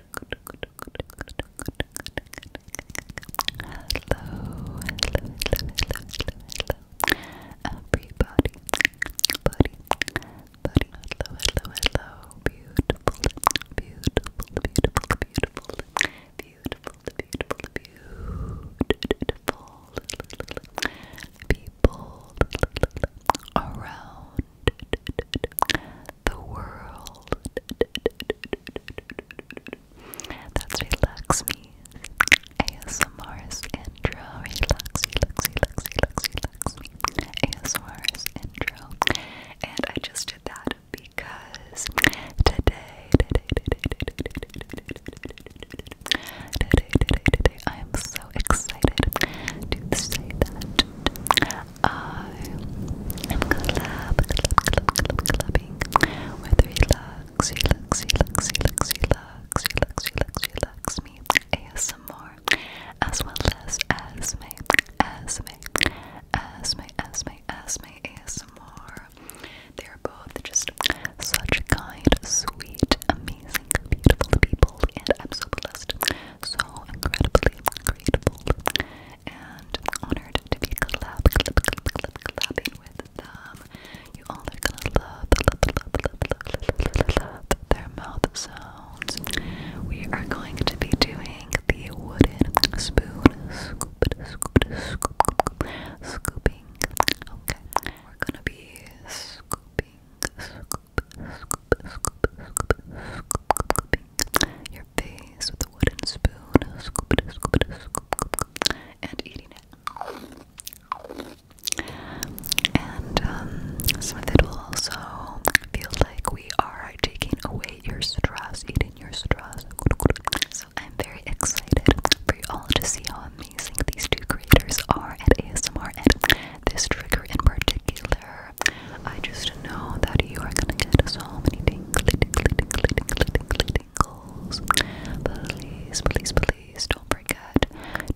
hello, hello, hello, hello, everybody, buddy, buddy, hello, hello, hello, beautiful, beautiful, beautiful, beautiful, beautiful, beautiful, beautiful, people around the world. That's Relax Me. ASMR's intro. Relax, relax, relax, relax, relax ASMR's intro. And I just did that because today, I am so excited to say that I am collab, collab, collab, collabing with Relax, Relax, Relax, Relax, Relax, Relax, Relax, Relax Me ASMR as well as Asme, Asme, Asme, ASMR. They are both just such kind, sweet, amazing, beautiful people and I'm so blessed so incredibly incredible, and honored to be collab, collabing with them. You all are gonna love, their mouth sounds. We are going to be doing the wooden spoon scooping. Okay, we're gonna be scooping, scooping your face with a wooden spoon, and eating it. And um, some of it will also feel like we are taking away your stress, eating your stress. So I'm very excited for you all to see how amazing these two creators are at ASMR and this trigger in particular here. I just know that you are gonna get so many tingly, tingly, tingly, tingly, tingly, tingles. Please, please, please don't forget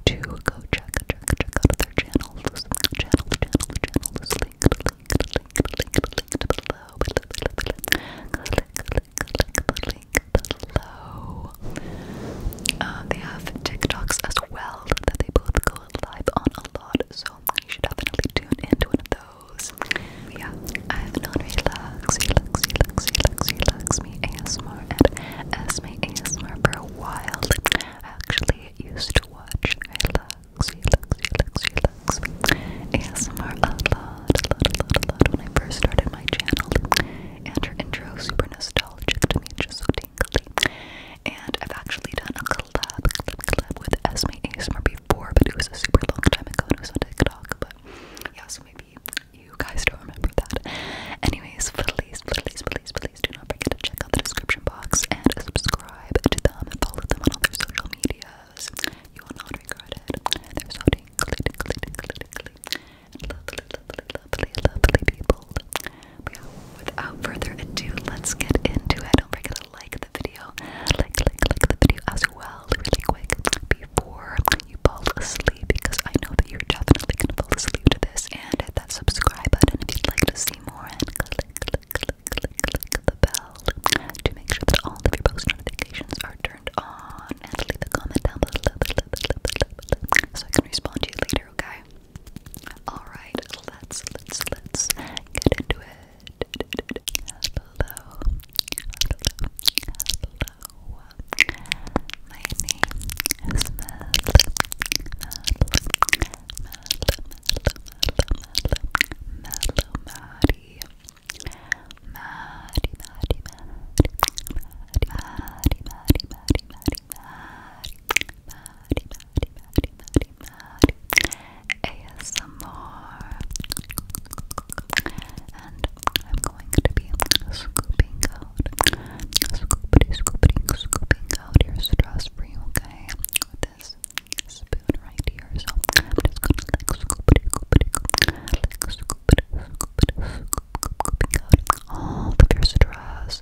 to go check, check, check out their channels. Channel, channel, channels. Link, link, link, link, linked below. Click, click, click the link below. Uh, they have TikToks as well that they both go live on a lot. So you should definitely tune into one of those. But yeah, I have known Relax, Relax, Relax, Relax, Relax Me ASMR and Esme ASMR for a while. I actually used to watch Relax, Relax, Relax, Relax ASMR a lot, a lot, a lot, a lot when I first started my channel. And her intro super nostalgic to me, just so tingly. And I've actually done a collab, collab, with Esme ASMR before, but it was a super long time ago and it was on TikTok, but yeah, so maybe you guys don't remember that. Anyways, please, please, please, please do not forget to check out the description box and subscribe to them and follow them on all their social medias. You will not regret it. They're so dingly, but yeah, without further ado, let's get into it. Don't forget to like the video, like, like, like the video as well, really quick before you fall asleep, because I know that you're definitely gonna fall asleep to this. And hit that subscribe button if you'd like to see more, and click, click, click, click, click the bell to make sure that all of your post notifications are turned on. And leave a comment down below so I can respond to you later, okay? Alright, let's let's let's get into it. Hello. Hello. Hello. My name is Mel. Mellow Maddie. Maddie, Maddie, Maddie. Maddie, Maddie, Maddie, Maddie, Maddie. Maddie, Maddie, ASMR and I'm going to be scooping out scoopity, scoopity, scooping out your stress for you, okay? With this spoon right here, so i gonna like scoopity, scoopity, like scoopity, scoopity, scooping out all of your stress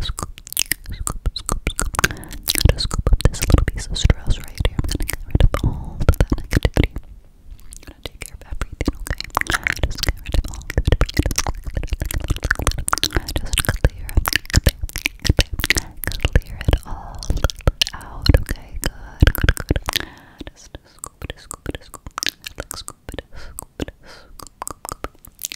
scoop, scoop, scoop, scoop. I'm gonna scoop up this little piece of stress right here. I'm gonna get rid of all of that negativity. I'm gonna take care of everything, okay? Just get rid of all of it. Just clear, clear, clear it all out, okay? Good, scoop it, scoop it, scoop it, scoop it, scoop it,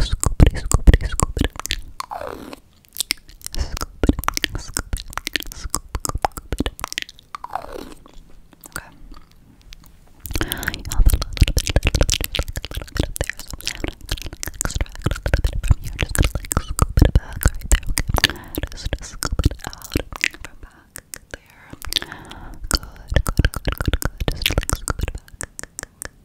Scoop it, scoop Okay. i a little bit, little bit, little bit there. So a little bit from here. Just gonna like scoop it right there. Okay. Just, just scoop it out from back there. Good, good, good, good, Just like scoop it back. Good, good,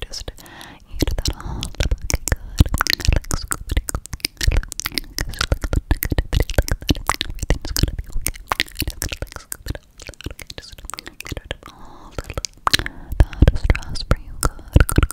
Just eat that all looking good. Like scoopity Just look at the negativity like that. Everything's gonna be okay. Just gonna like scoop it out. Okay, just get rid of all the that stress for you. Good, good, good.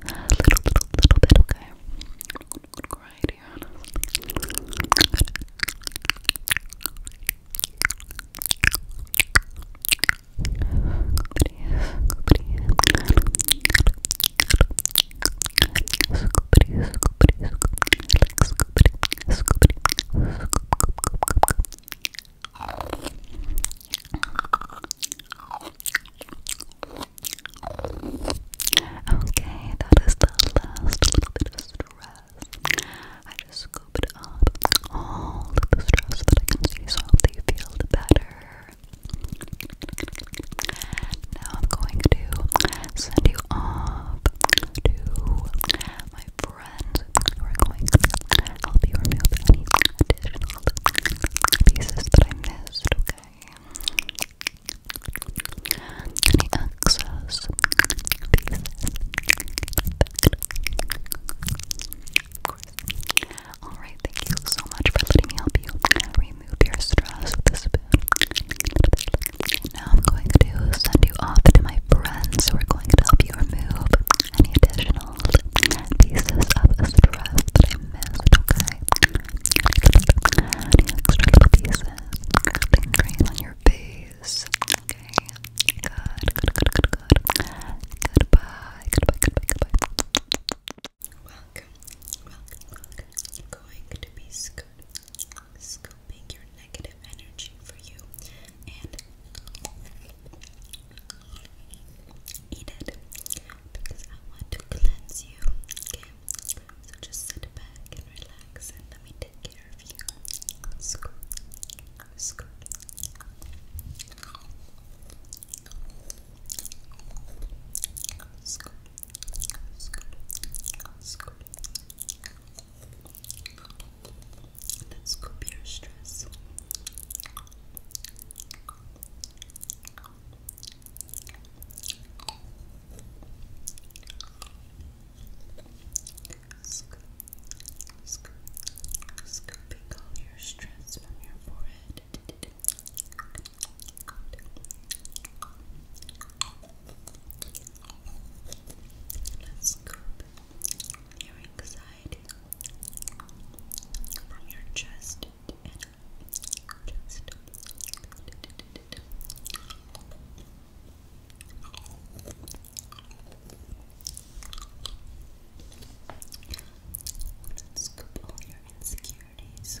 little, little, little bit, okay? Right here, Okay, that is the last little bit of stress. I just scooped up all of the stress that I can see so they feel better. Now I'm going to send you off to my friends who are going to help you remove any additional pieces that I missed okay? Any access Alright, thank you so much for letting me help you remove your stress with this bit. Now I'm going to send you off to my friends who are going to help you remove any additional emotional pieces of stress that I missed, okay? extra little pieces lingering on your face, okay? Goodbye, Welcome, welcome, I'm going to be scooping your negative energy for you Eat it because I want to cleanse you. Okay, so just sit back and relax, and let me take care of you. Scoop, scoop. Scoop, scoop, scoop. Let's scoop your stress. Scoop, scoop, scooping all your stress from your forehead. Let's scoop your anxiety from your chest just Let's scoop all your insecurities.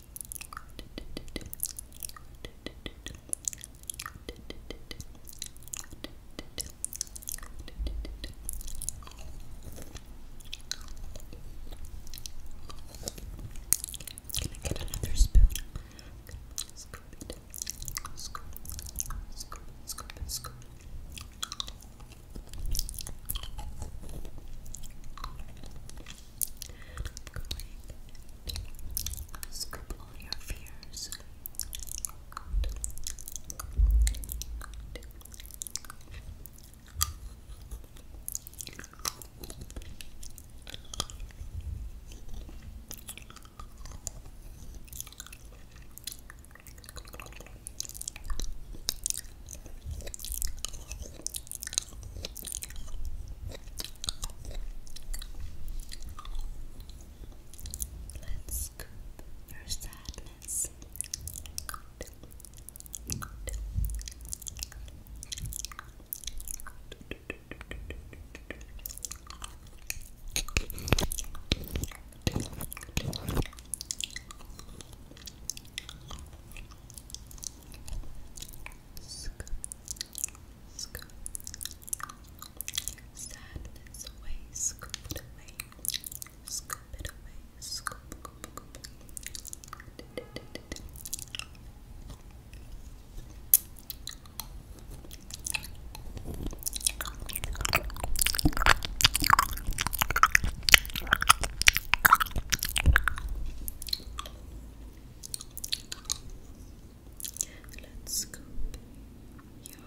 Can I get another spoon? Scoop it. Scoop, scoop, scoop, scoop to scribble all your fears. Good. Let's scoop your sadness. Scoop, scoop. away, scoop it away, scoop it away, scoop, scoop, scoop. Let's scoop your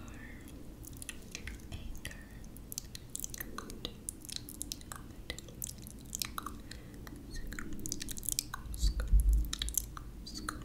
anchor. Good. Good. Scoop. Scoop. Scoop.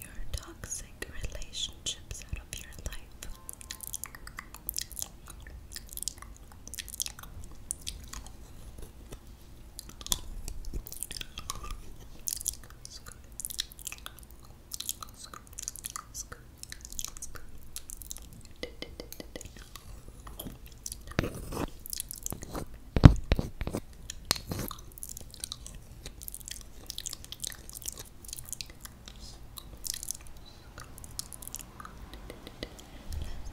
your toxic relationships out of your life.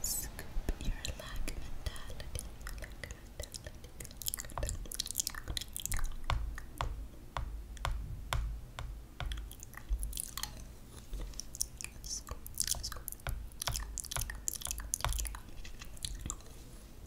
Scoop your lack mentality. Lack mentality. Scoop, scoop.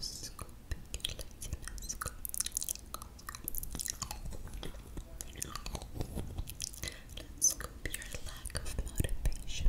Scoop it, Let's scoop your lack of motivation.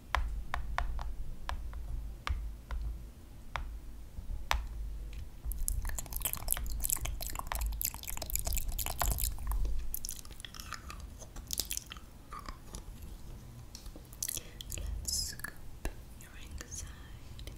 Let's scoop your anxiety. Good.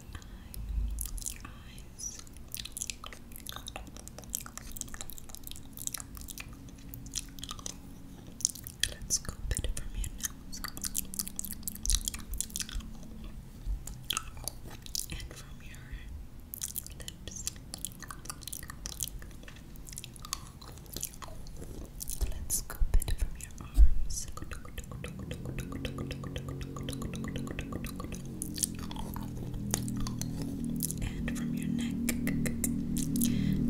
eye, eyes. Let's go a from your nose and from your lips. Let's go a from your arms and from your neck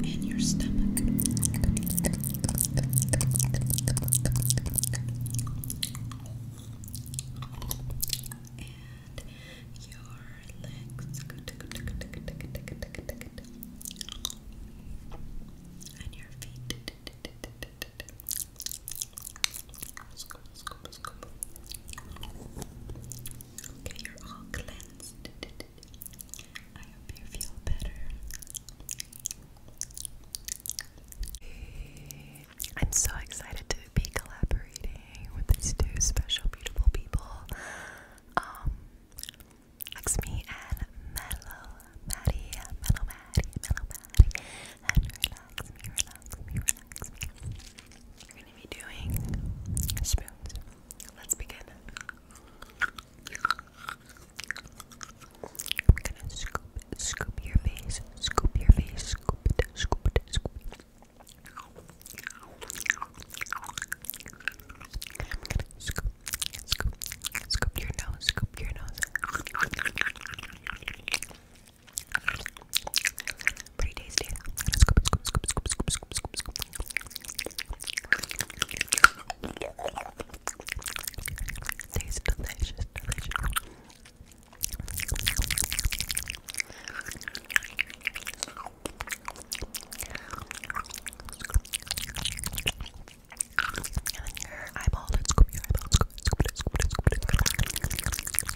and your stomach. And your legs and your feet Scoop, scoop, scoop. Okay, you're all cleansed. I am so excited to be collaborating with these two special, beautiful people. Um, Lexmi and Mellow Maddie, Mellow Maddie, Mellow Maddie, and we're gonna be doing spoons. Let's begin. I'm gonna scoop, scoop your face, scoop your face, scoop it, scoop it, scoop it. scoop, scoop, scoop your nose, scoop your nose. Pretty tasty. Scoop, scoop, scoop, scoop, scoop, scoop, scoop, scoop. Tastes delicious, delicious. And then your eyeball, let's scoop your eyeball, scoop it, scoop it, scoop it, scoop it, scoop it.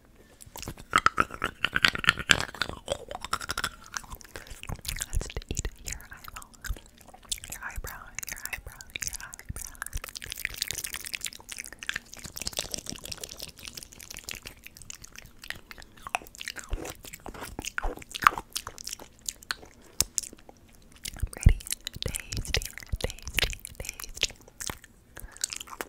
Let's eat your eyeball. Your eyebrow, your eyebrow, your eyebrow. Ready, tasty, tasty, tasty.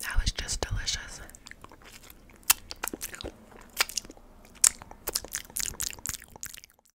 That was just delicious.